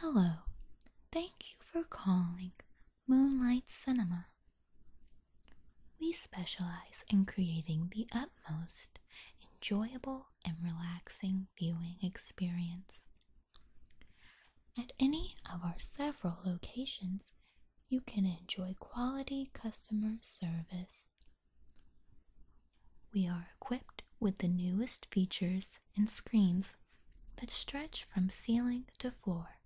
Hello, thank you for calling Moonlight Cinema. We specialize in creating the utmost enjoyable and relaxing viewing experience. At any of our several locations, you can enjoy quality customer service. We are equipped with the newest features and screens that stretch from ceiling to floor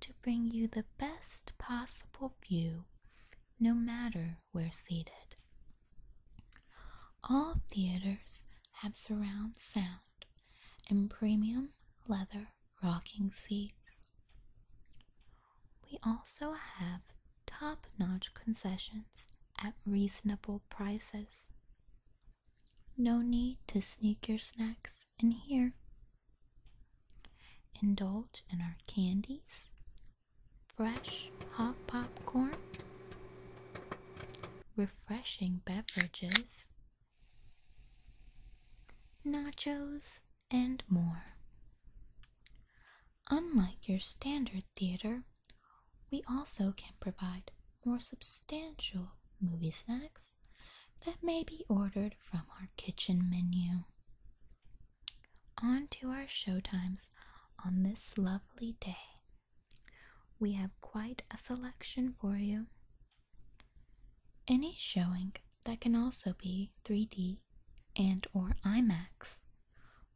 to bring you the best possible view no matter where seated. All theaters have surround sound and premium leather rocking seats. We also have top notch concessions at reasonable prices. No need to sneak your snacks in here. Indulge in our candies, fresh hot popcorn, refreshing beverages, nachos, and more. Unlike your standard theater, we also can provide more substantial movie snacks that may be ordered from our kitchen menu. On to our showtimes on this lovely day. We have quite a selection for you. Any showing that can also be 3D and or IMAX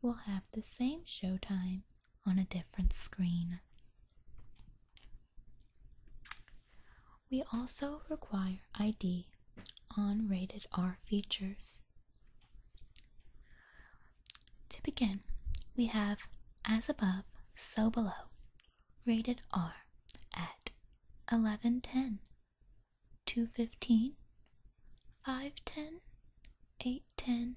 will have the same showtime on a different screen. We also require ID on rated R features. To begin, we have as above, so below, rated R at 1110, 215, 510, 810,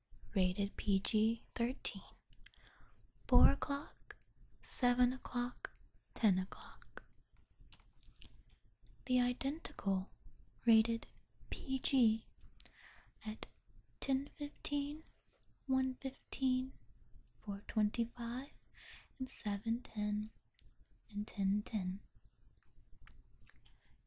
rated PG 13. 4 o'clock, 7 o'clock, 10 o'clock. The identical rated PG at 1015, 115, 425, and 710 and 1010.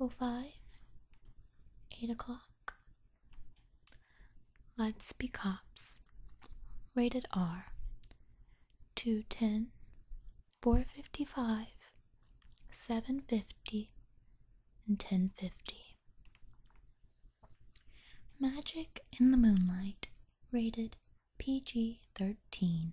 Oh eight o'clock. Let's be cops. Rated R. Two ten, four fifty five, seven fifty, and ten fifty. Magic in the Moonlight. Rated PG 13.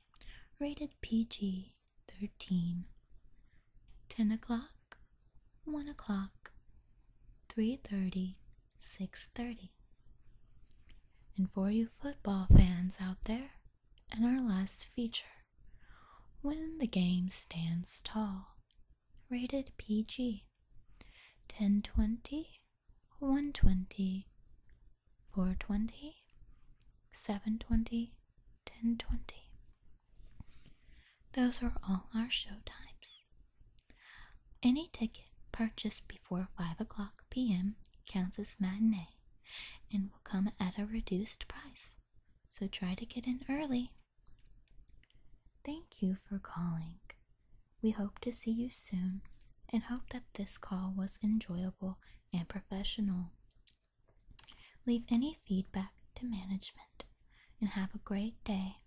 Rated PG 13. 10 o'clock, 1 o'clock, 3.30, 6.30. And for you football fans out there, and our last feature, When the Game Stands Tall, rated PG 10.20, 120, 420, 720, 1020. Those are all our show times. Any ticket purchased before 5 o'clock p.m. counts as matinee and will come at a reduced price, so try to get in early. Thank you for calling. We hope to see you soon and hope that this call was enjoyable and professional. Leave any feedback to management and have a great day.